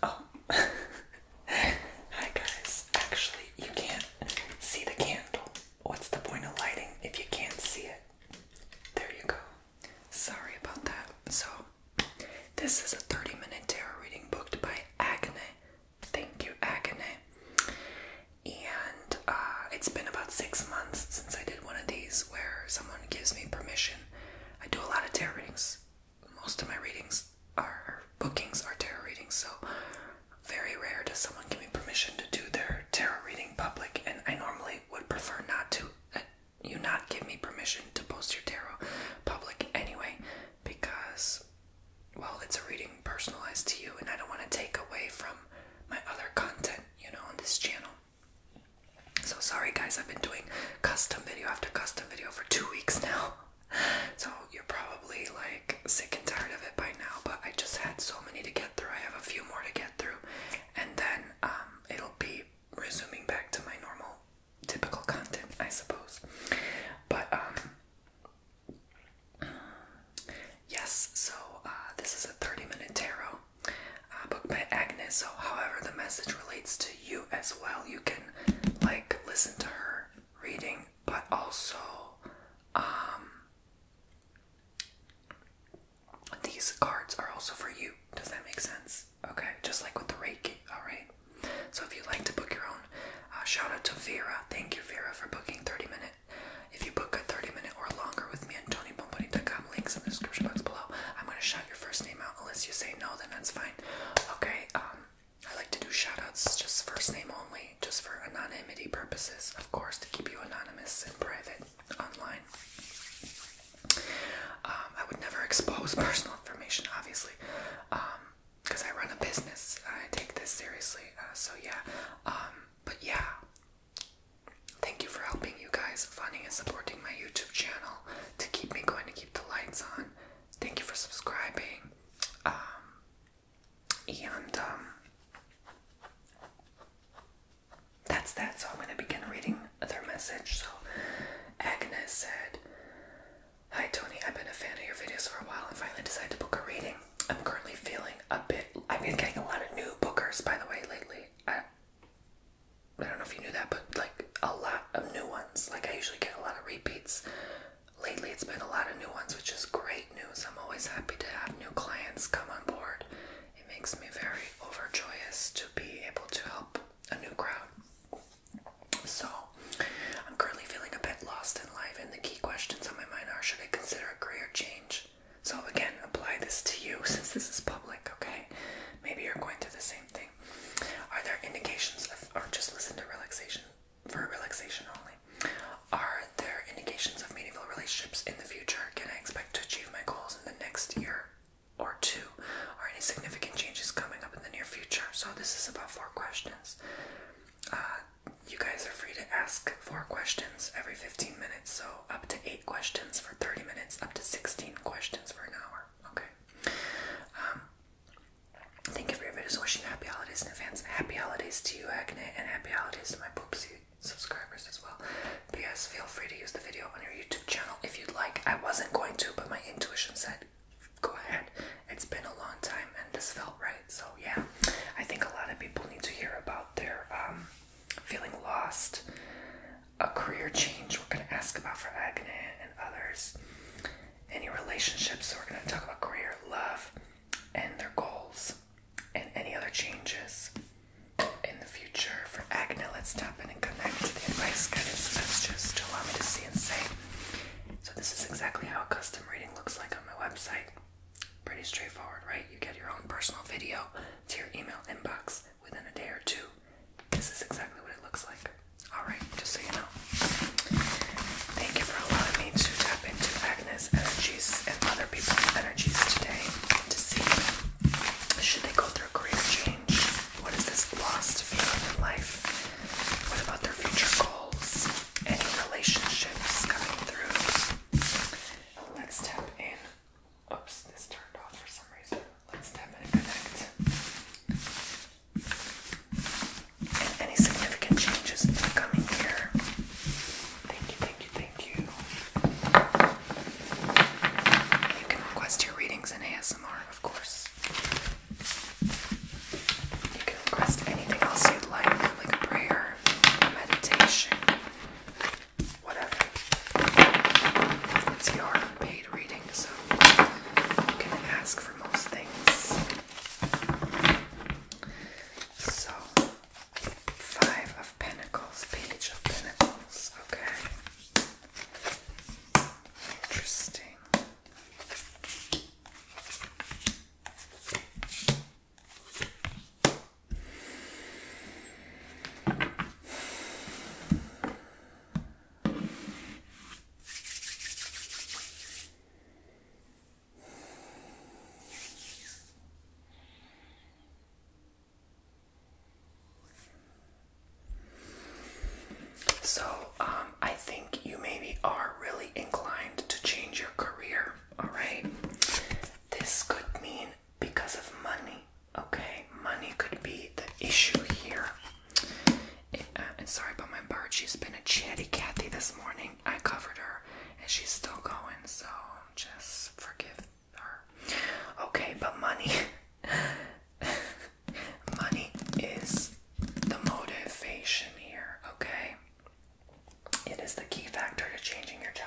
Oh, hi guys. Actually, you can't see the candle. What's the point of lighting if you can't see it? There you go. Sorry about that. So, this is a 30 minute tarot reading booked by Agnay. Thank you, Agnay. And uh, it's been about six months since I did one of these where someone gives me permission. I do a lot of tarot readings. Most of my readings are bookings are tarot readings, so very rare does someone give me permission to do their tarot reading public, and I normally would prefer not to. Uh, you not give me permission to post your tarot public anyway, because, well, it's a reading personalized to you, and I don't want to take away from my other content, you know, on this channel. So sorry, guys, I've been doing custom video after custom video for two weeks now. So you're probably like sick and tired of it by now, but I just had so many to get through. I have a few more to get through, and then um, it'll be resuming back to my normal, typical content, I suppose. But um, yes, so uh, this is a 30-minute tarot uh, book by Agnes. So, however, the message relates to you as well. You can like listen to her reading, but also um, these cards are also for you. Does that make sense? Okay, just like with the Reiki, alright? So if you'd like to book your own, uh, shout out to Vera. Thank you, Vera, for booking 30 minute. If you book a 30 minute or longer with me and TonyBomboni.com, links in the description box below. I'm going to shout your first name out. Unless you say no, then that's fine. Okay, um, I like to do shout outs just first name only just for anonymity purposes, of course, to keep you anonymous and private online. Um, I would never expose personal information, obviously, because um, I run a business. I take this seriously, uh, so yeah. Um, but yeah, thank you for helping you guys, funding and supporting my YouTube channel to keep me going, to keep the lights on. Thank you for subscribing and um, that's that. So I'm going to begin reading their message. So Agnes said, Hi Tony, I've been a fan of your videos for a while and finally decided to book a reading. I'm currently feeling a bit. I've been getting a lot of new bookers, by the way, lately. I don't know if you knew that, but like a lot of new ones. Like I usually get a lot of repeats. Lately, it's been a lot of new ones, which is great news. I'm always happy to have new clients come on board. It makes me very overjoyous to be able to help a new crowd. So, I'm currently feeling a bit lost in life, and the key questions on my mind are should I consider a career change? So, again, apply this to you since this is public, okay? Maybe you're going through the same thing. Are there indications of, or just listen to relaxation for relaxation only? Are there indications of meaningful relationships in the future? Can I expect to achieve my goals in the next year or two? Are any significant changes coming up in the near future? So, this is about four questions. Uh, you guys are free to ask four questions every 15 minutes, so up to eight questions for 30 minutes, up to 16 questions for an hour. Okay. Um, thank you for your videos. happy holidays in advance. Happy holidays to you, Agne, and happy holidays to my poopsie subscribers as well. But yes, feel free to use the video on your YouTube channel if you'd like. I wasn't going to, but my intuition said go ahead. It's been a long time and this felt right. So yeah, I think a lot of people need to hear about their um, feeling lost, a career change we're going to ask about for Agne and others, any relationships, so we're going to talk about career, love, and their goals and any other changes in the future for acne. Let's tap in and connect to the advice guided messages to allow me to see and say. So this is exactly how a custom reading looks like on my website. Pretty straightforward, right? You get your own personal video to your email inbox within a day or two. This is exactly what it looks like. Alright, just so you know. Thank you for allowing me to tap into Agnes' energies and other people's energies today to see should they go through a career change? What is this lost feeling in life? What about their future goals? Any relationships coming through? Let's tap in. Oops, this turned off for some reason. Let's tap and connect. any significant changes coming year? Thank you, thank you, thank Thank you. can request your readings in ASMR, of course. You can request anything else you'd like, like a prayer, meditation, whatever. It's your paid reading, so you can ask for most things. So, Five of Pentacles, Page of Pentacles, okay. Interesting. So, um, I think you maybe are really inclined to change your career, alright? This could mean because of money, okay? Money could be the issue here. uh, and sorry about my bird, she's been a chatty Cathy this morning. I covered her and she's still going, so just forgive her. Okay, but money, money is the motivation here. Okay, it is the key factor to changing your job.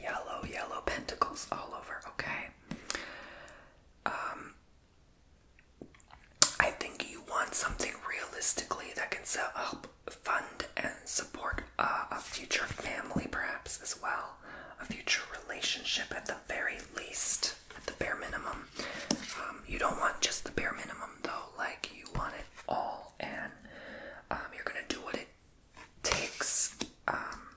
Yellow, yellow pentacles all over. Okay. Um, I think you want something realistically that can set up, fund, and support a future family, perhaps as well, a future relationship at the very least, at the bare minimum. Um, you don't want just the bare minimum though, like you want it all, and um, you're gonna do what it takes. Um,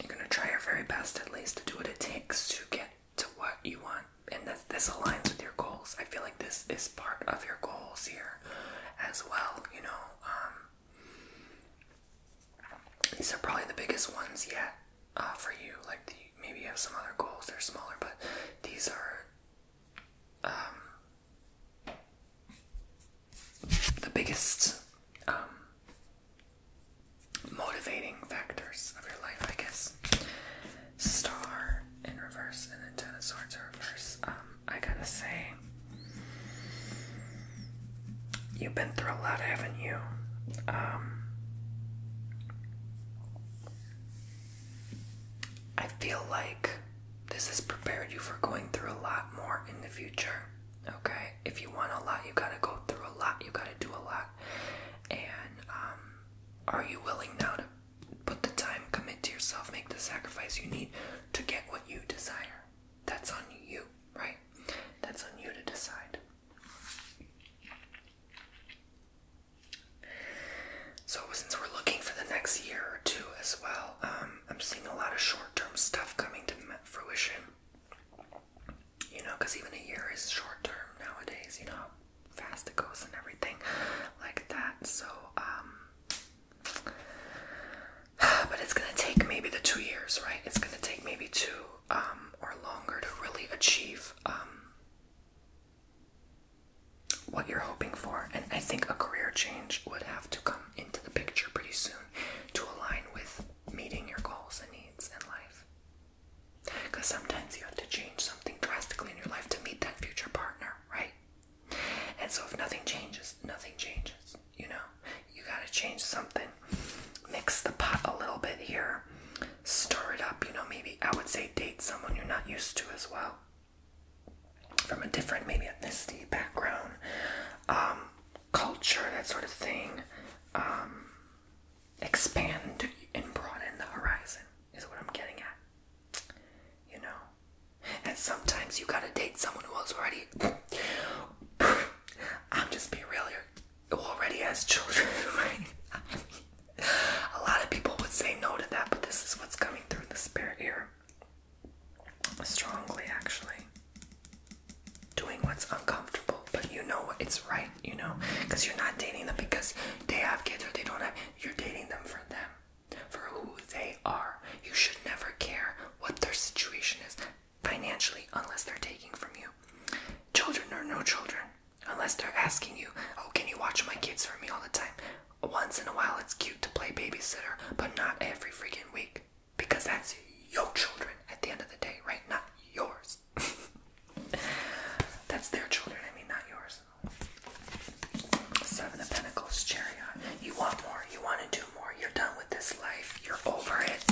you're gonna try your very best, at least, to do what it takes to get to what you want and this, this aligns with your goals i feel like this is part of your goals here as well you know um, these are probably the biggest ones yet uh, for you like maybe you have some other goals they're smaller but these are um, the biggest um, motivating factors of your life, I guess. Star in reverse and then Ten of Swords in reverse. Um, I gotta say, you've been through a lot, haven't you? Um, I feel like this has prepared you for going through a lot more in the future. Okay, if you want a lot, you gotta go through a lot, you gotta do a lot, and um, are you willing now to put the time, commit to yourself, make the sacrifice you need to get what you desire? That's on you, right? That's on you to decide. So, since we're looking for the next year or two as well, um, I'm seeing a lot of short term stuff coming to fruition you know, because even a year is short term nowadays, you know how fast it goes and everything like that. So, um, but it's gonna take maybe the two years, right? It's gonna take maybe two um, or longer to really achieve um, what you're hoping for. And I think a career change would have to come into the picture pretty soon to align with meeting your goals and needs in life. Because sometimes you have to change something drastically in your life to meet that future partner, right? And so if nothing changes, nothing changes. You know, you gotta change something. Mix the pot a little bit here. Stir it up, you know, maybe I would say date someone you're not used to as well. From a different, maybe ethnicity, background, um, culture, that sort of thing. Um, expand and broaden the horizon, is what I'm getting at. You know? And sometimes you gotta date someone who already. I'm just being real here. already has children, right? A lot of people would say no to that, but this is what's coming through the spirit here. Strongly, actually. Doing what's uncomfortable, but you know what? It's right you know, because you're not dating them because they have kids or they don't have. You're dating them for them, for who they are. You should never care what their situation is financially unless they're taking from you. Children or no children, unless they're asking you, "Oh, can you watch my kids for me all the time?" Once in a while, it's cute to play babysitter, but not every freaking week because that's your children at the end of the day, right? Not yours. That's their children, I mean, not yours. Seven of Pentacles, Chariot. You want more, you want to do more, you're done with this life, you're over it,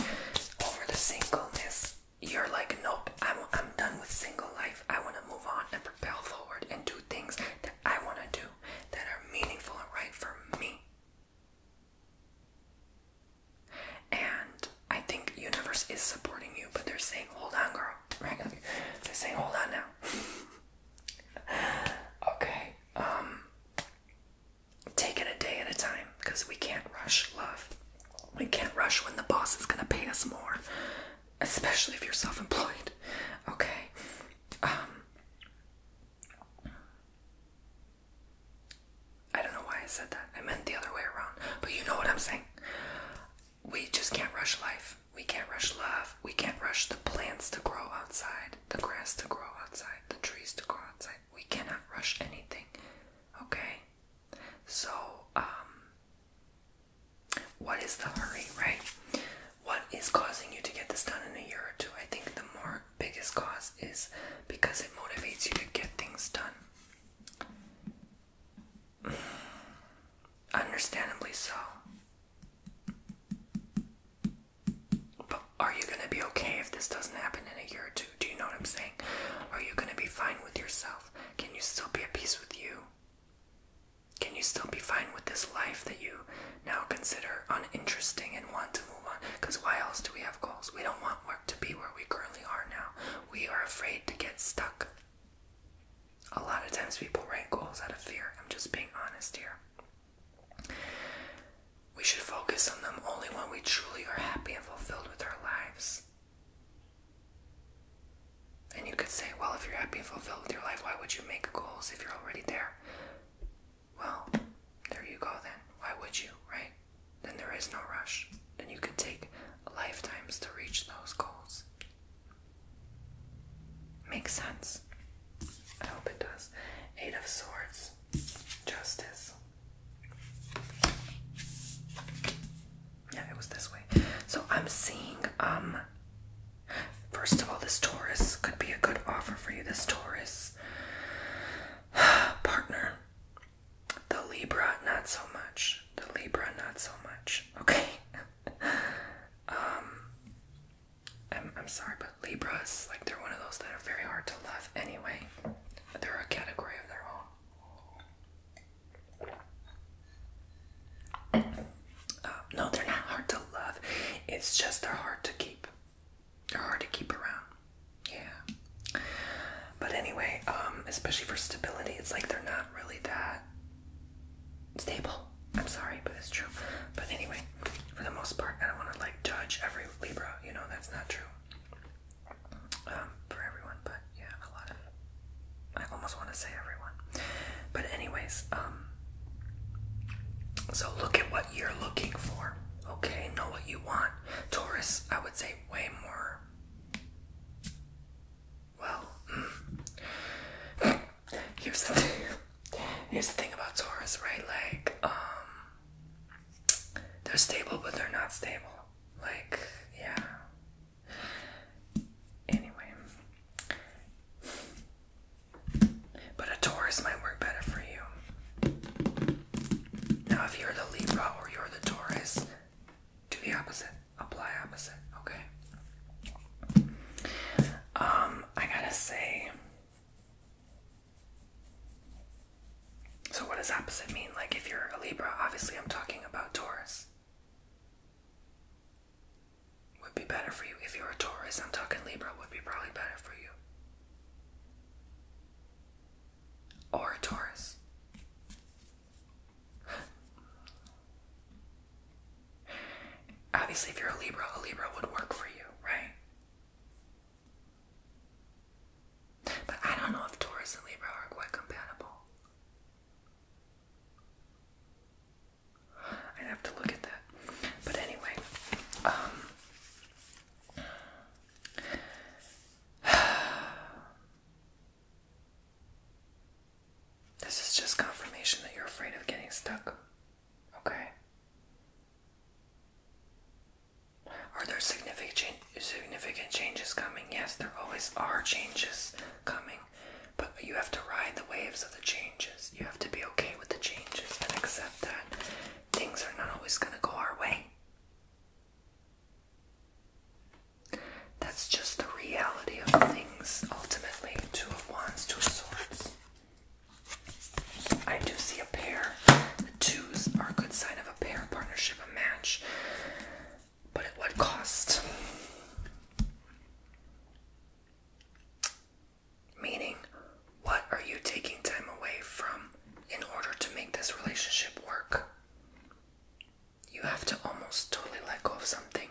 over the singleness. You're like, nope, I'm, I'm done with single life. I want to move on and propel forward and do things that I want to do that are meaningful and right for me. And I think universe is supporting you, but they're saying, hold on, girl. They're saying, hold on now. okay. Um take it a day at a time because we can't rush love. We can't rush when the boss is gonna pay us more. Especially if you're self-employed. Okay. Um I don't know why I said that. I meant the other way around. But you know what I'm saying we just can't rush life. We can't rush love. We can't rush the plants to grow outside, the grass to grow outside, the trees to grow outside. We cannot rush anything. Okay? So, um, what is the hurry, right? What is causing you to get this done in a year or two? I think the more biggest cause is because it motivates you to get things done. Understandably so. But are you gonna be okay if this doesn't happen in a year or two? Do you know what I'm saying? Are you gonna be fine with yourself? Can you still be at peace with you? Can you still be fine with this life that you now consider uninteresting and want to move on? Because why else do we have goals? We don't want work to be where we currently are now. We are afraid to get stuck. A lot of times people write goals out of fear. I'm just being honest here. We should focus on them only when we truly are happy and fulfilled with our lives. And you could say, well, if you're happy and fulfilled with your life, why would you make goals if you're already there? Well, there you go then. Why would you, right? Then there is no rush. Then you could take lifetimes to reach those goals. Makes sense. I hope it does. Eight of Swords, Justice. Yeah, it was this way. So I'm seeing, um, first of all, this Taurus could be a good offer for you. This Taurus partner, the Libra, not so much. The Libra, not so much. Okay. um, I'm I'm sorry, but Libras, like they're one of those that are very hard to love. Anyway, but they're a category of their own. Uh, no, they're not hard to love. It's just they're hard to keep. They're hard to keep around. Yeah. But anyway, um, especially for stability, it's like they're not really that stable. I'm sorry, but it's true. But anyway, for the most part, I don't want to like judge every Libra. You know, that's not true um, for everyone. But yeah, a lot of. I almost want to say everyone. But anyways, um. So look at what you're looking for. Okay, know what you want. Taurus, I would say way more well, hmm. here's the thing. Here's the thing about Taurus, right? Like, um, they're stable, but they're not stable. Like, yeah. Anyway, but a Taurus might work better for you. Now, if you're the Libra or you're the Taurus, do the opposite apply opposite, okay? Um, I gotta say. So, what does opposite mean? Like, if you're a Libra, obviously I'm talking about Taurus. Would be better for you. If you're a Taurus, I'm talking Libra, would be probably better for you. Or Taurus. Obviously, if you're a Libra, a Libra would work for you, right? But I don't know if Taurus and Libra are quite compatible. I'd have to look at that. But anyway, um, This is just confirmation that you're afraid of getting stuck. Okay? Are there significant, significant changes coming? Yes, there always are changes coming. But you have to ride the waves of the changes. You have to be okay with the changes and accept that things are not always going to go our way. That's just the reality of things, ultimately. Two of Wands, Two of Swords. I do see a pair. The twos are a good sign of a pair, partnership, a match. But at what cost? Meaning, what are you taking time away from in order to make this relationship work? you have to almost totally let go of something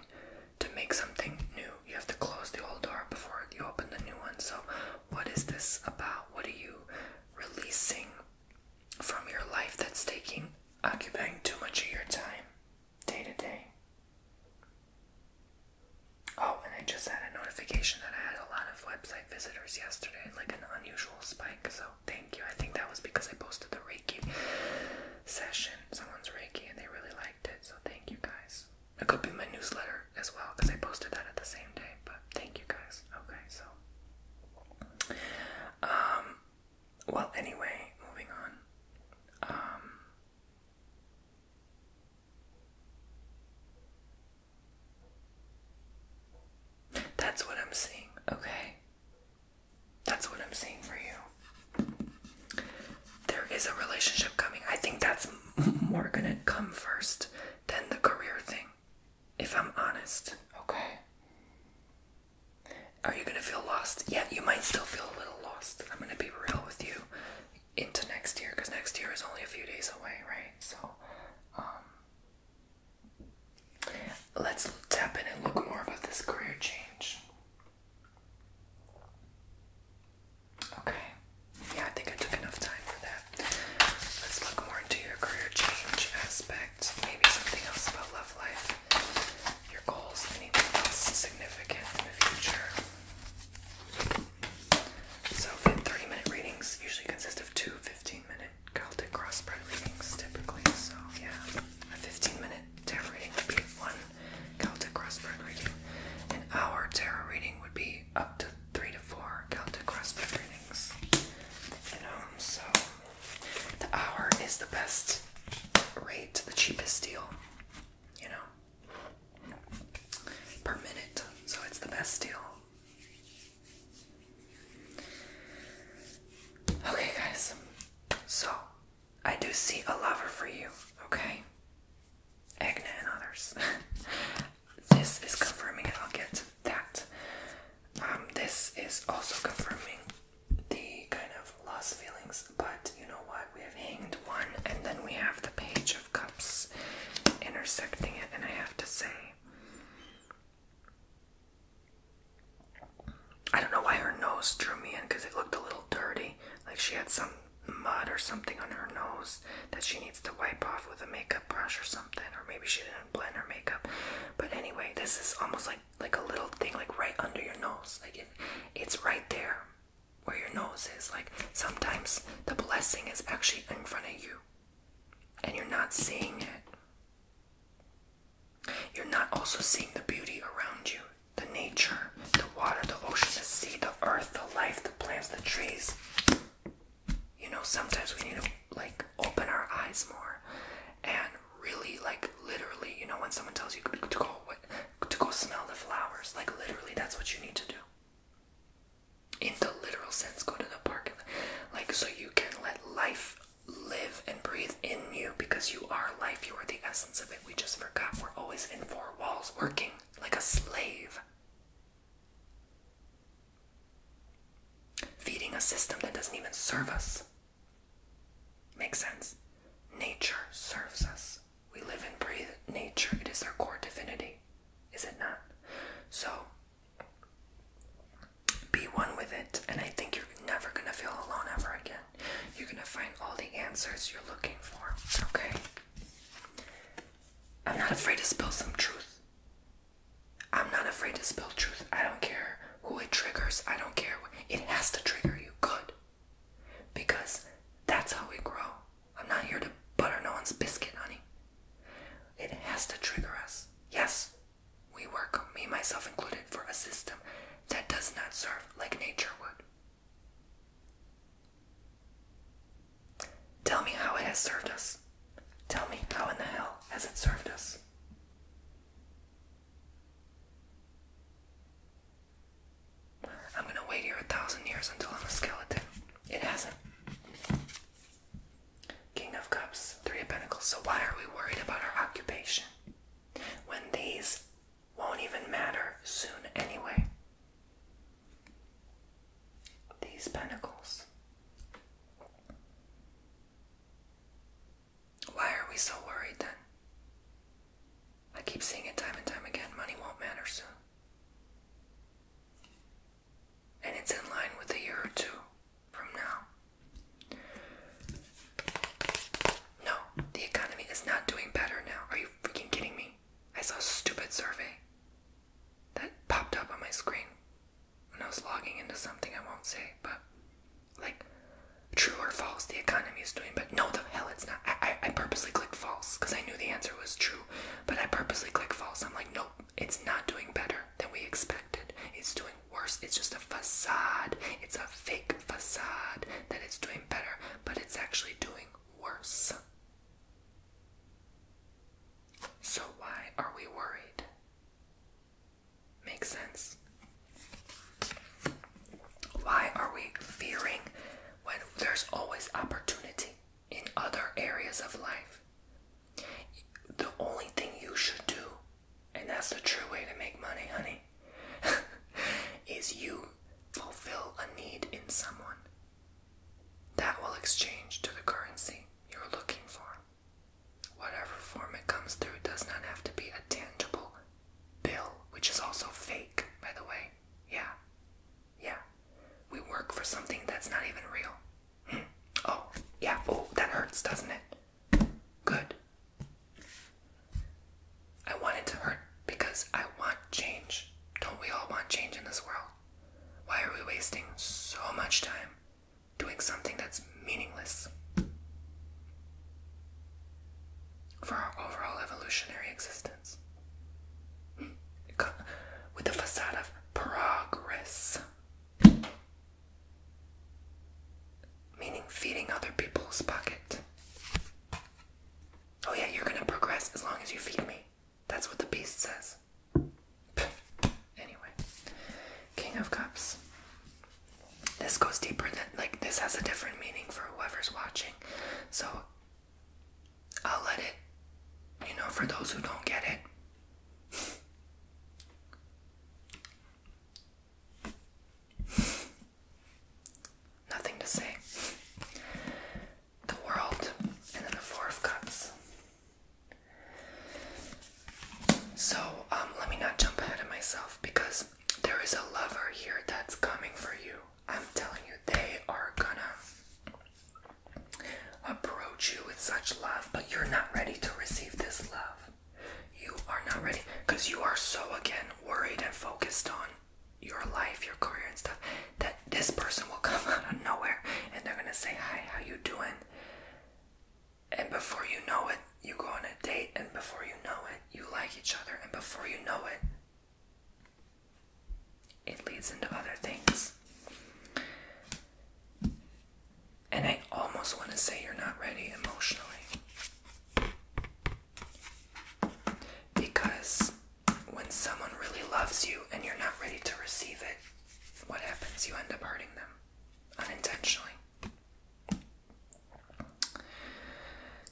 to make something new. You have to close the old door before you open the new one. So, what is this about? What are you releasing from your life that's taking, occupying too much of your time day to day? Oh, and I just had a notification that I had a lot of website visitors yesterday, like an unusual spike. So, thank you. I think that was because I posted the Reiki session. Someone's Reiki and they really liked it, so thank you guys. It could be my newsletter as well because I posted that at the same day, but thank you guys. Okay, so. Um, well, anyway, moving on. Um, that's what I'm seeing, okay? That's what I'm saying for you. There is a relationship coming. I think that's more gonna come first than the career thing, if I'm honest. Okay. Are you gonna feel lost? Yeah, you might still feel a little lost. I'm gonna be real with you into next year because next year is only a few days away, right? So, um, let's tap in and look more about this career change. Okay. Yeah, I think I took enough time for that. Let's look more into your career change aspect. Maybe something else about love life, your goals, anything else significant in the future. So, 30 minute readings usually consist of two minute Celtic crossbred readings typically. So, yeah, 15 minute tarot reading would be one Celtic crossword reading. An hour tarot reading would be up to three to four Celtic crossword readings. You um, know, so the hour is the best rate, the cheapest deal. You know, per minute, so it's the best deal. Okay, guys. So I do see a lover for you, okay? Agnes and others. this is confirming, it. I'll get to that. Um, this is also confirming the kind of lost feelings, but you know what? We have hanged one, and then we have the Page of Cups intersecting it, and I have to say, I don't know why her nose drew me in because it looked a little dirty. Like she had some mud or something on her nose that she needs to wipe off with a makeup brush or something. Or maybe she didn't blend her makeup. But anyway, this is almost like like a little thing like right under your nose. Like it's right there where your nose is. Like sometimes the blessing is actually in front of you and you're not seeing it. You're not also seeing the beauty around you the nature, the water, the ocean, the sea, the earth, the life, the plants, the trees. You know, sometimes we need to like open our eyes more and really, like, literally, you know, when someone tells you to go, to go smell the flowers, like, literally, that's what you need to do. In the literal sense, go to the park, like, so you can let life live and breathe in you because you are life, you are the essence of it. We just forgot we're always in four walls working like a slave. Feeding a system that doesn't even serve us. Makes sense. Nature serves us. We live and breathe nature. It is our core divinity, is it not? So be one with it, and I think you're never going to feel alone ever again you're gonna find all the answers you're looking for, okay? I'm not afraid to spill some truth. I'm not afraid to spill truth. I don't care who it triggers, I don't care. It has to trigger you good because that's how we grow. I'm not here to butter no one's biscuit, honey. It has to trigger us. Yes, we work, me, myself included, for a system that does not serve like nature would. Tell me how it has served us. Tell me how in the hell has it served us? I'm gonna wait here a thousand years until I'm a skeleton. It hasn't. King of Cups, Three of Pentacles. So, why are we worried about our occupation? When these won't even matter soon anyway. These pentacles. Why are we so worried then? I keep seeing it time and time again. Money won't matter soon. And it's in line with a year or two from now. No, the economy is not doing better now. Are you freaking kidding me? I saw a stupid survey that popped up on my screen when I was logging into something I won't say, but like, true or false, the economy is doing But No, the hell it's not. I, I purposely clicked false because I knew the answer was true, but I purposely clicked false. I'm like, nope, it's not doing better than we expected. It's doing worse. It's just a facade. It's a fake facade that it's doing better, but it's actually doing worse. So, why are we worried? Makes sense. Why are we fearing when there's always opportunity in other areas of life? The only thing you should do, and that's the true way to make money, honey, is you fulfill a need in someone. That will exchange to the currency you're looking for. Whatever form it comes through does not have to be a tangible bill, which is also fake, by the way. Yeah. Yeah. We work for something that's not even real. Hmm. Oh, yeah. Oh, that hurts, doesn't it? Good. I want it to hurt because I want change. Don't we all want change in this world? Why are we wasting so much time doing something that's meaningless for our overall evolutionary existence? With the facade of progress. Meaning feeding other people's pocket. Oh, yeah, you're gonna progress as long as you feed me. That's what the beast says. Anyway, King of Cups. This goes deeper than, like, this has a different meaning for whoever's watching. So, I'll let it, you know, for those who don't get it. Nothing to say. The world, and then the Four of So, um, let me not jump ahead of myself because there is a lover here that's coming for you. I'm telling you, they are gonna approach you with such love, but you're not ready to receive this love you are not ready because you are so again worried and focused on your life, your career and stuff that this person will come out of nowhere and they're gonna say, Hi, how you doing? And before you know it, you go on a date and before you know it, you like each other and before you know it it leads into other things. And I almost want to say you're not ready emotionally. Because when someone really loves you and you're not ready to receive it, what happens? You end up hurting them unintentionally.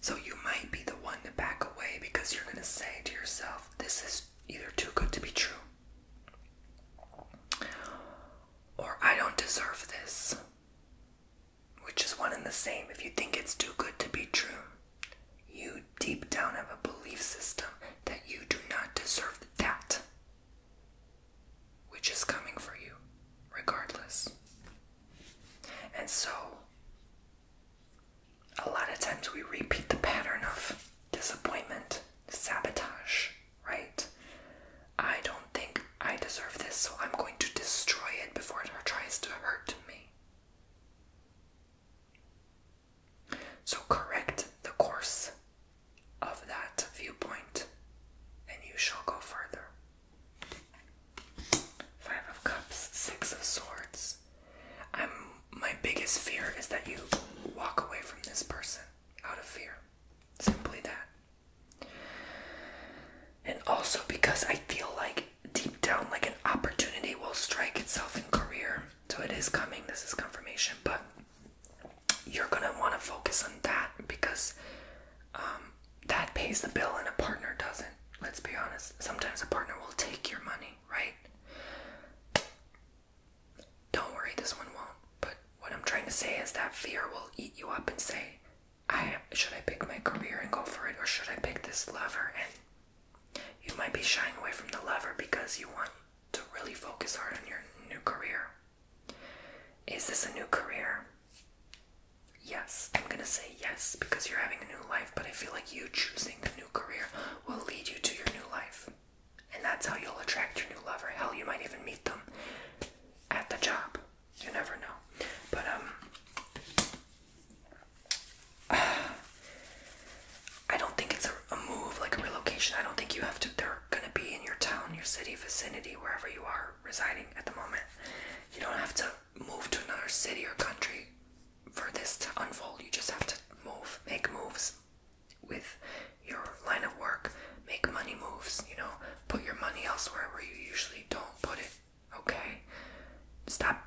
So you might be the one to back away because you're going to say to yourself, this is either too good to be true or I don't deserve this which is one and the same. If you think it's too good to be true, you deep down have a belief system that you do not deserve that, which is coming for you, regardless. And so, a lot of times we repeat the pattern of disappointment, sabotage, right? I don't think I deserve this, so I'm going to destroy it before it tries to hurt me. So correct the course of that viewpoint, and you shall go further. Five of Cups, Six of Swords. I'm, my biggest fear is that you walk away from this person out of fear. Simply that. And also because I feel like deep down, like an opportunity will strike itself in career. So it is coming, this is confirmation, but you're gonna want to focus on that because um, that pays the bill and a partner doesn't. Let's be honest, sometimes a partner will take your money, right? Don't worry, this one won't. But what I'm trying to say is that fear will eat you up and say, I should I pick my career and go for it, or should I pick this lover And you might be shying away from the lover because you want to really focus hard on your new career. Is this a new career? Yes, I'm gonna say yes because you're having a new life, but I feel like you choosing the new career will lead you to your new life. And that's how you'll attract your new lover. Hell, you might even meet them at the job you never know. But um, I don't think it's a move like a relocation. I don't think you have to. They're gonna be in your town, your city, vicinity, wherever you are residing at the moment. You don't have to move to another city or country for this to unfold. You just have to move, make moves with your line of work, make money moves, you know, put your money elsewhere where you usually don't put it Okay? Stop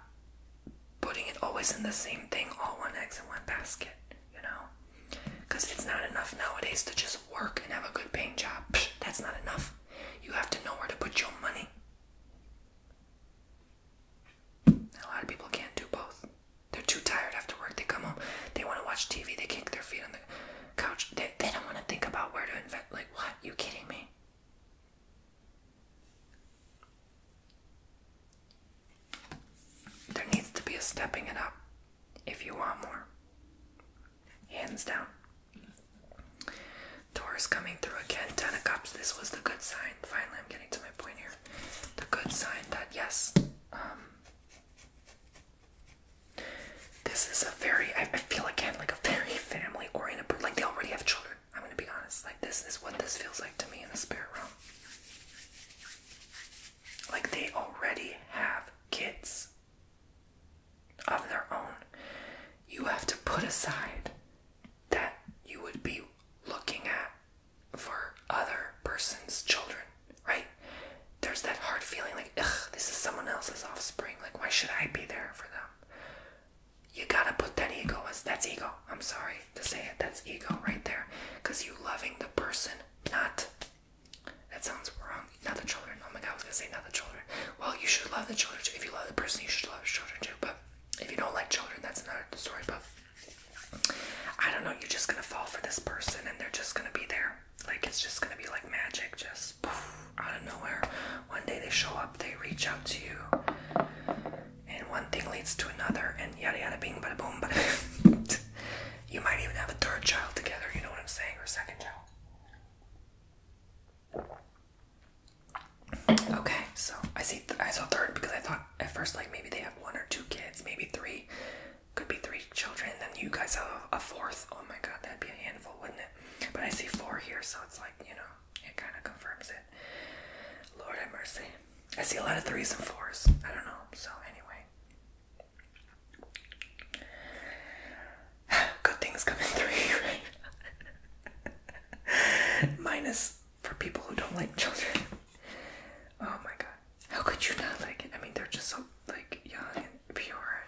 putting it always in the same thing, all one eggs in one basket, you know? Because it's not enough nowadays to just work and have a good paying job. that's not enough. You have to know where to put your money. A lot of people can't do both. They're too tired after work. They come home. They want to watch TV. They kick their feet on the couch. They, they don't want to think about where to invest. Like, what? You kidding me? There needs to be a stepping it up if you want more. Hands down. Taurus coming through again. Ten of Cups. This was the good sign. Finally, I'm getting to my point here. The good sign that, yes, um, this is a very, I feel again like a very family oriented, like they already have children. I'm gonna be honest. Like this is what this feels like to me in the spirit realm. Like they already have kids of their own. You have to put aside that you would be looking at for other person's children, right? There's that hard feeling like, ugh, this is someone else's offspring. Like, why should I be there for them? you gotta put that ego as that's ego. I'm sorry to say it, that's ego right there. Cause you loving the person, not that sounds wrong. Not the children. Oh my god, I was gonna say not the children. Well, you should love the children too. If you love the person, you should love the children too. But if you don't like children, that's another story. But I don't know, you're just gonna fall for this person and they're just gonna be there. Like it's just gonna be like magic, just poof out of nowhere. One day they show up, they reach out to you, and one thing leads to another, and yada yada bing bada boom. Bada. you might even have a third child together, you know what I'm saying, or a second child. Okay, so I see, I saw third because I thought at first, like maybe they have one or two kids, maybe three, could be three children, then you guys have a fourth. Oh my god, that'd be a handful, wouldn't it? But I see four here, so it's like, you know it kind of confirms it. Lord have mercy. I see a lot of threes and fours. I don't know. So anyway, good things come in three. Right? Minus for people who don't like children. Oh my god. How could you not like it? I mean, they're just so like young and pure.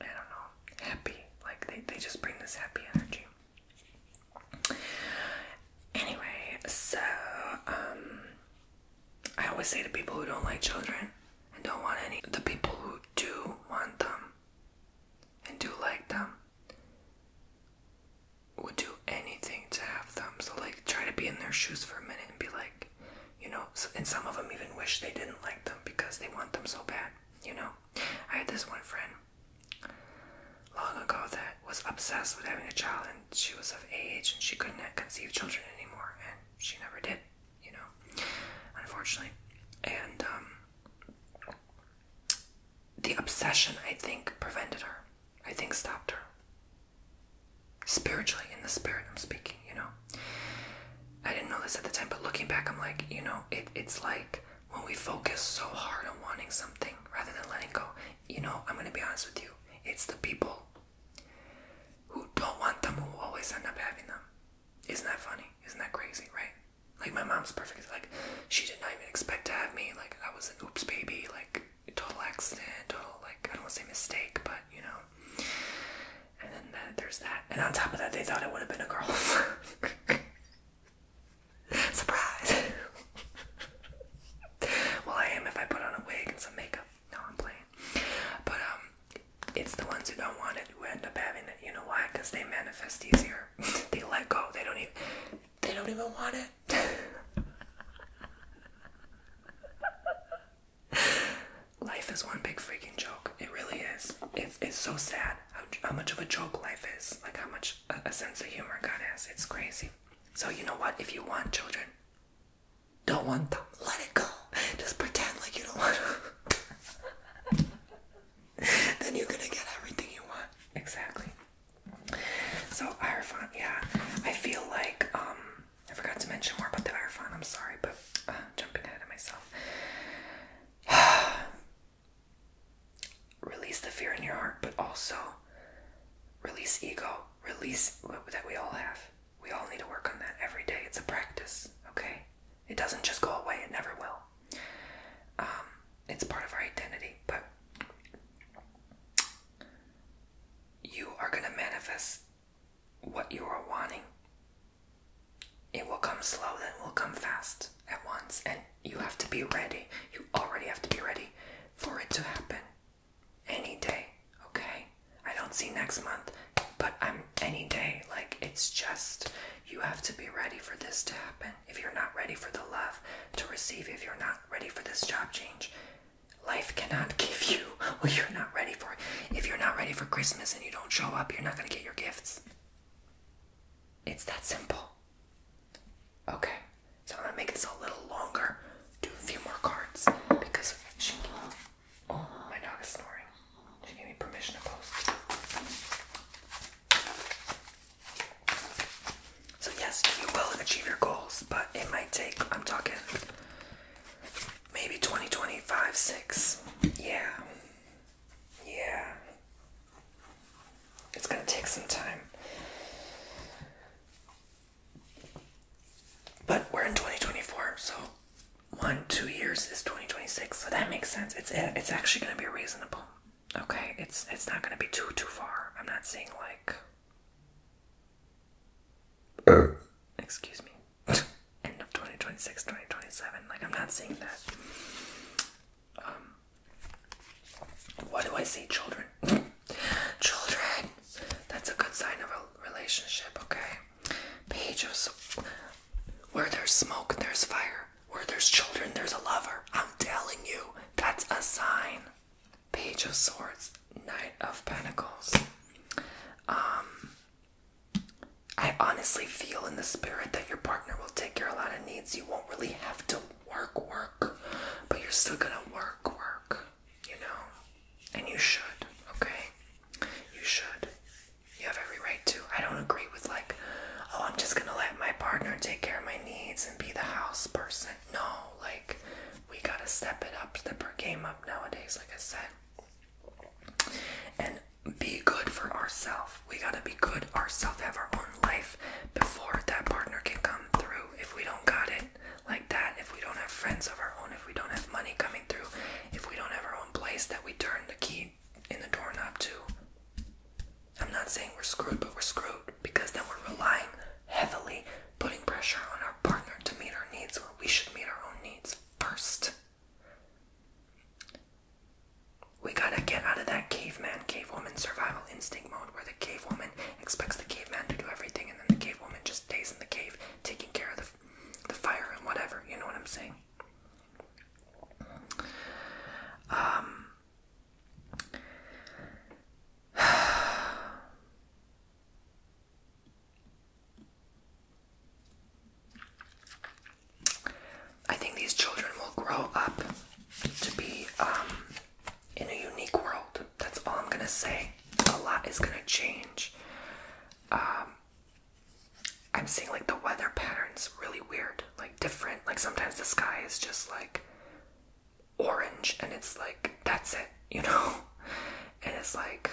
And, I don't know. Happy. Like they they just bring this happy energy. Anyway, so um, I always say to people who don't like children and don't want any the people who do want them and do like them would do anything to have them. So like try to be in their shoes for a minute and be like, you know, and some of them even wish they didn't like them because they want them so bad, you know. I had this one friend Long ago, that was obsessed with having a child, and she was of age, and she couldn't conceive children anymore, and she never did, you know, unfortunately. And um, the obsession, I think, prevented her. I think stopped her. Spiritually, in the spirit, I'm speaking, you know. I didn't know this at the time, but looking back, I'm like, you know, it, it's like when we focus so hard on wanting something rather than letting go, you know, I'm going to be honest with you, it's the people who don't want them who always end up having them. Isn't that funny? Isn't that crazy, right? Like, my mom's perfect. like, she did not even expect to have me. Like, I was an oops baby, like, total accident, total, like, I don't want to say mistake, but, you know. And then there's that. And on top of that, they thought it would have been a girl. Surprise! well, I am if I put on a wig and some makeup. No, I'm playing. But, um, it's the ones who don't want it who end up having it. You know why? Because they manifest easier. they let go. They don't even. They don't even want it. Life is one big freaking joke. It really is. It's it's so sad how, much of a joke life is, like how much a, sense of humor God has. It's crazy. So, you know what? If you want children, don't want them. Let it go. Just pretend like you don't want them. then you're gonna get everything you want. Exactly. So, Hierophant, yeah. I feel like, um, I forgot to mention more about the Hierophant. I'm sorry, but uh, jumping ahead of myself. release the fear in your heart, but also release ego, release that we all have. We all need to work on that every day. It's a practice, okay? It doesn't just go away, it never will. Um, it's part of our identity, but you are going to manifest what you are wanting it will come slow, then it will come fast at once, and you have to be ready. You already have to be ready for it to happen any day, okay? I don't see next month, but I'm any day. Like, it's just you have to be ready for this to happen. If you're not ready for the love to receive, if you're not ready for this job change, life cannot give you what you're not ready for. If you're not ready for Christmas and you don't show up, you're not going to get your gifts. It's that simple. Okay, so I'm gonna make this a little longer, do a few more cards because she. Oh, my dog is snoring. She gave me permission to post. So, yes, you will achieve your goals, but it might take, I'm talking maybe twenty, 6. Yeah. Yeah. It's gonna take some time. But we're in 2024, so one, two years is 2026, so that makes sense. It's eh, it's actually gonna be reasonable. Okay, it's it's not gonna be too too far. I'm not saying like uh. excuse me. End of 2026, 2027. Like I'm not saying that um, what do I say, children? children! That's a good sign of a relationship, okay? Page of. Where there's smoke, there's fire. Where there's children, there's a lover. I'm telling you, that's a sign. Page of Swords, Knight of Pentacles. Um, I honestly feel in the spirit that your partner will take care of a lot needs, you won't really have to work, work, but you're still gonna work, work, you know? And you should, okay? You should. You have every right to. I don't agree with, like, oh, I'm just gonna let my partner take care of my needs and be the house person. No, like, we gotta step it up, step our game up nowadays, like I said. And be good for ourself. We gotta be good ourself. have our own life before that partner can come through. If we don't got it like that, if we don't have friends of our own, if we don't have money coming through, if we don't have our own place that we turn the key in the doorknob to. I'm not saying we're screwed, but we're screwed because then we're relying heavily, putting pressure on our partner to meet our needs where we should meet our own needs first. We gotta get out of that caveman, cavewoman survival instinct mode where the cavewoman expects the caveman to do everything and then the cavewoman just stays in the cave taking care of the, fire and whatever. You know what I'm saying? Um. I think these children will grow up to be um, in a unique world. That's all I'm gonna say. A lot is gonna change. Um, I'm seeing like the weather patterns really weird, like different. Like sometimes the sky is just like orange and it's like, that's it, you know? And it's like,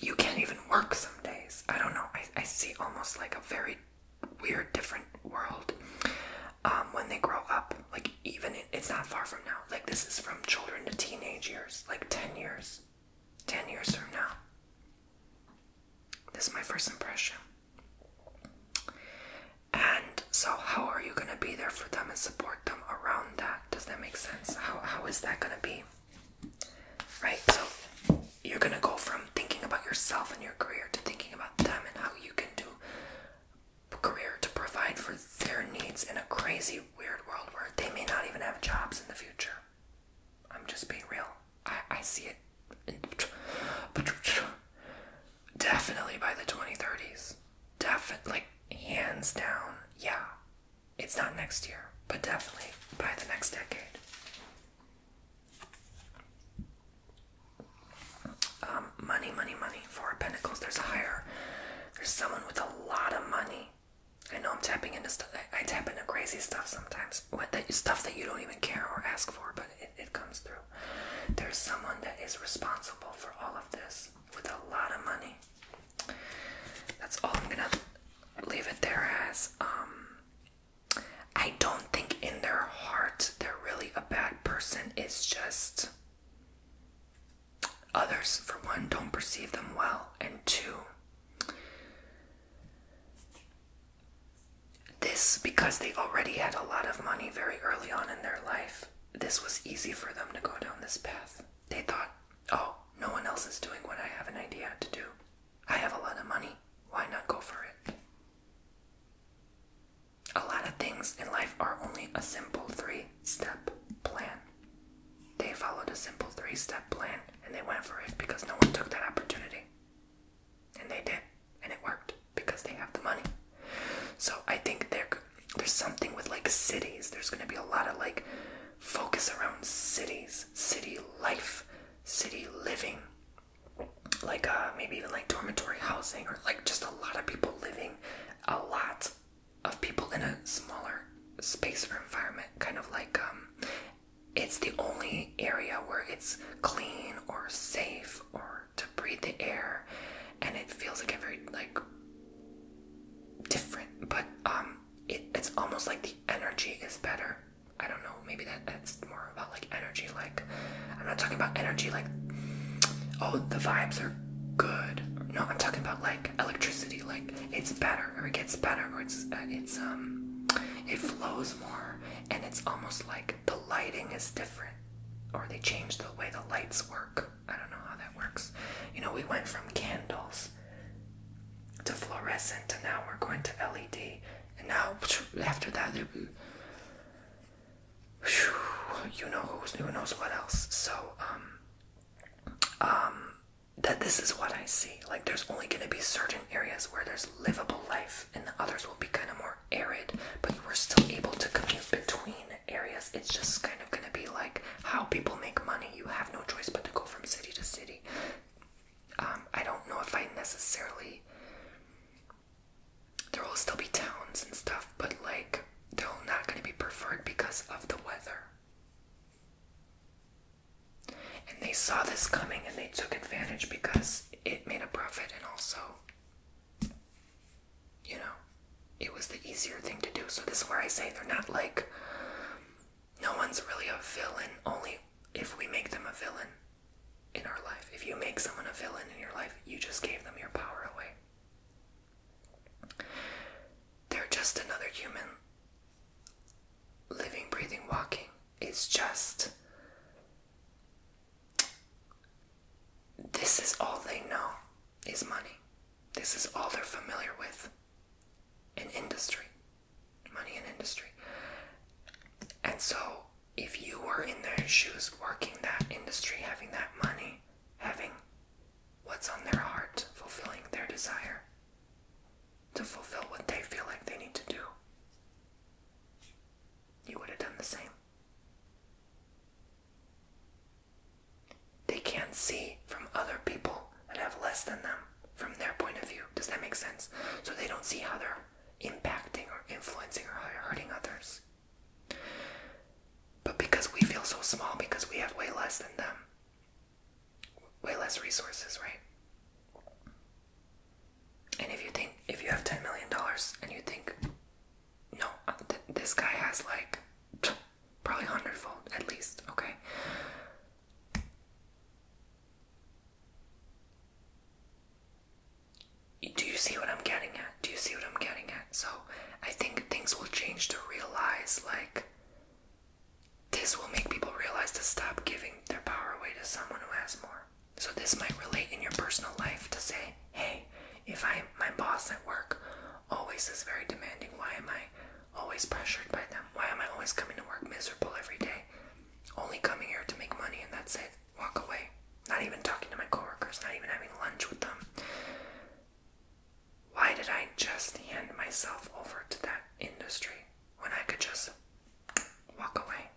you can't even work some days. I don't know. I, I see almost like a very weird, different world um, when they grow up. Like, even it's not far from now. Like, this is from children to teenage years, like 10 years. 10 years from now. This is my first impression. And so, how are you going to be there for them and support them around that? Does that make sense? How, how is that going to be? Right? So, you're going to go from thinking about yourself and your career to thinking about them and how you can do career to provide for their needs in a crazy, weird world where they may not even have jobs in the future. I'm just being real. I, I see it definitely by the 2030s. Definitely, like, hands down, yeah. It's not next year, but definitely by the next decade. Um, money, money, money. Four Pentacles. There's a higher. There's someone with a lot of money. I know I'm tapping into stuff. I, tap into crazy stuff sometimes. With that stuff that you don't even care or ask for, but it, it comes through. There's someone that is responsible for all of this with a lot of money. That's all I'm gonna leave it there as. Um, I don't think in their heart they're really a bad person. It's just others, for one, don't perceive them well, and two, this because they already had a lot of money very early on in their life. This was easy for them to go down this path. They thought, oh, no one else is doing what I have an idea to do. I have a lot of money. Why not go for it? A lot of things in life are only a simple three step plan. They followed a simple three step plan and they went for it because no one took that opportunity. And they did. And it worked because they have the money. So I think there's something with like cities. There's going to be a lot of like focus around cities, city life, city living like uh, maybe even like dormitory housing or like just a lot of people living, a lot of people in a smaller space or environment. Kind of like um, it's the only area where it's clean or safe or to breathe the air, and it feels like a very like different. But um, it, it's almost like the energy is better I don't know, maybe that that's more about like energy. Like, I'm not talking about energy like, oh, the vibes are good. No, I'm talking about like electricity. Like, it's better or it gets better or it's uh, it's um, it flows more and it's almost like the lighting is different or they change the way the lights work. I don't know how that works. You know, we went from candles to fluorescent and now we're going to LED and now, after that, there be, you know who knows what else. So, um, um, that this is what I see. Like, there's only going to be certain areas where there's livable life, and the others will be kind of more arid. But we're still able to commute between areas. It's just kind of going to be like how people make money. You have no choice but to go from city to city. Um, I don't know if I necessarily there will still be towns and stuff, but like they're not going to be preferred because of the weather. And they saw this coming and they took advantage because it made a profit and also, you know, it was the easier thing to do. So, this is where I say they're not like, no one's really a villain, only if we make them a villain in our life. If you make someone a villain in your life, you just gave them your power away. They're just another human living, breathing, walking. It's just. This is all they know is money. This is all they're familiar with in industry. Money in industry. And so if you were in their shoes, working that industry, having that money, having what's on their heart, fulfilling their desire to fulfill what they feel like they need to do, you would have done the same. They can't see from other people that have less than them from their point of view. Does that make sense? So they don't see how they're impacting or influencing or hurting others. But because we feel so small, because we have way less than them, way less resources, right? And if you think, if you have $10 million and you think, no, uh, this guy has like probably hundredfold at least, okay? do you see what I'm getting at? Do you see what I'm getting at? So I think things will change to realize like this will make people realize to stop giving their power away to someone who has more. So this might relate in your personal life to say, hey, if I my boss at work always is very demanding, why am I always pressured by them? Why am I always coming to work miserable every day? Only coming here to make money and that's it walk away. Not even talking to my coworkers, not even having lunch with them. Why did I just hand myself over to that industry when I could just walk away?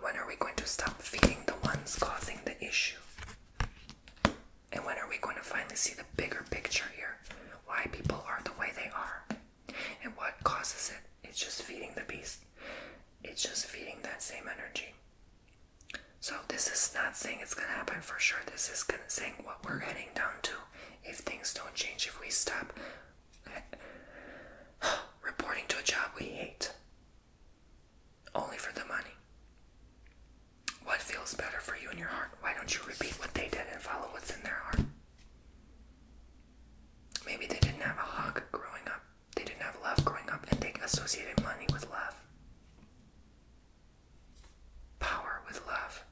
When are we going to stop feeding the ones causing the issue? And when are we going to finally see the bigger picture here? Why people are the way they are and what causes it? It's just feeding the beast. It's just feeding that same energy. So this is not saying it's gonna happen for sure. This is gonna, say what we're heading down to. If things don't change, if we stop reporting to a job we hate, only for the money. What feels better for you in your heart? Why don't you repeat what they did and follow what's in their heart? Maybe they didn't have a hug growing up. They didn't have love growing up, and they associated money with love, power with love.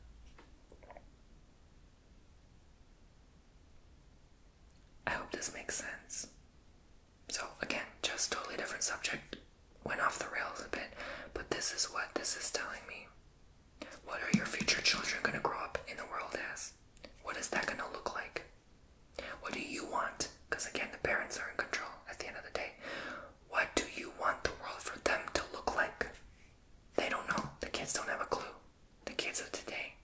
I hope this makes sense. So, again, just totally different subject. Went off the rails a bit, but this is what this is telling me. What are your future children going to grow up in the world as? What is that going to look like? What do you want? Because again, the parents are in control at the end of the day. What do you want the world for them to look like? They don't know. The kids don't have a clue. The kids of today,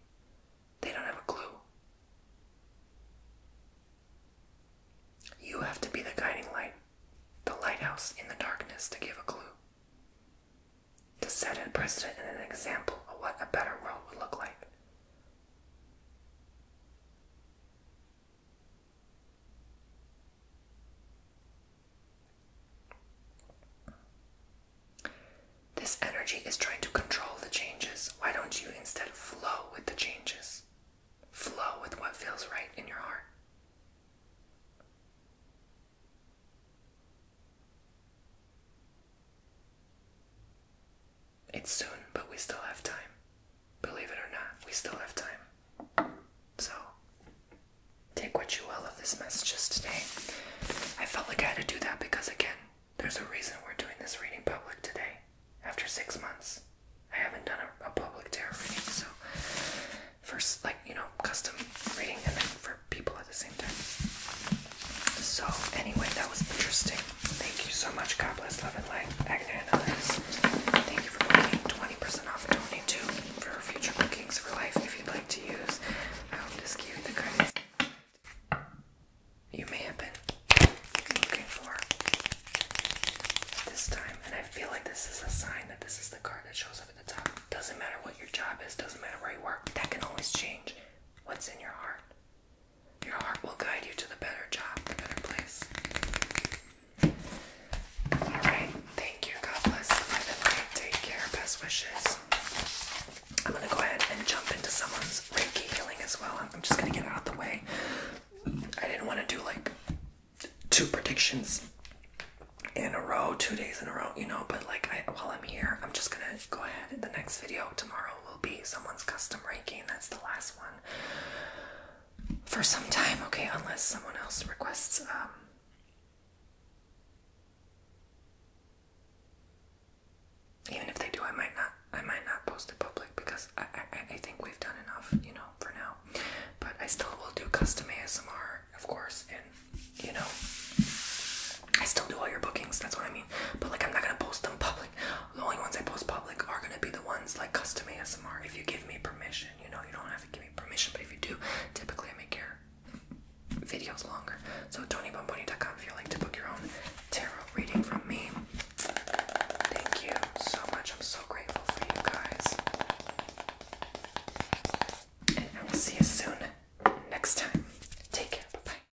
they don't have a clue. You have to be the guiding light, the lighthouse in the darkness to give a clue, to set a precedent and an example of what a better world would look like. This energy is trying to control the changes. Why don't you instead flow with the changes? Flow with what feels right in your heart. It's soon, but we still have time. Believe it or not, we still have time. So, take what you will of this messages today. I felt like I had to do that because, again, there's a reason we're doing this reading public today. After six months, I haven't done a, public tarot reading, so first, like, you know, custom reading, and then for people so, anyway, that was interesting. Thank you so much. God bless, love, and light. Agnes Thank you for booking 20% off Tony too for future bookings for life if you'd like to use. I hope this gave you the guidance you may have been looking for this time. And I feel like this is a sign that this is the card that shows up at the top. Doesn't matter what your job is, doesn't matter where you work, that can always change. What's in your heart? Your heart will guide you to the better job, the better place. Alright, thank you. God bless. Take care. Best wishes. I'm going to go ahead and jump into someone's Reiki healing as well. I'm just going to get out of the way. I didn't want to do like two predictions in a row, two days in a row, you know, but like while I'm here, I'm just going to go ahead in the next video tomorrow will be someone's custom ranking. That's the last one for some time, okay? Unless someone else requests. Um, even if they do, I might not. I might not post it public because I, I I think we've done enough, you know, for now. But I still will do custom ASMR, of course, and you know, I still do all your bookings, that's what I mean. But like I'm not gonna post them public. The only ones I post public are gonna be the ones like custom ASMR. If you give me permission, you know, you don't have to give me permission, but if you do, typically I make your videos longer. So tonybomboni.com if you like to book your own tarot reading from me. Thank you so much. I'm so grateful for you guys. And I will see you soon next time. Take care. bye.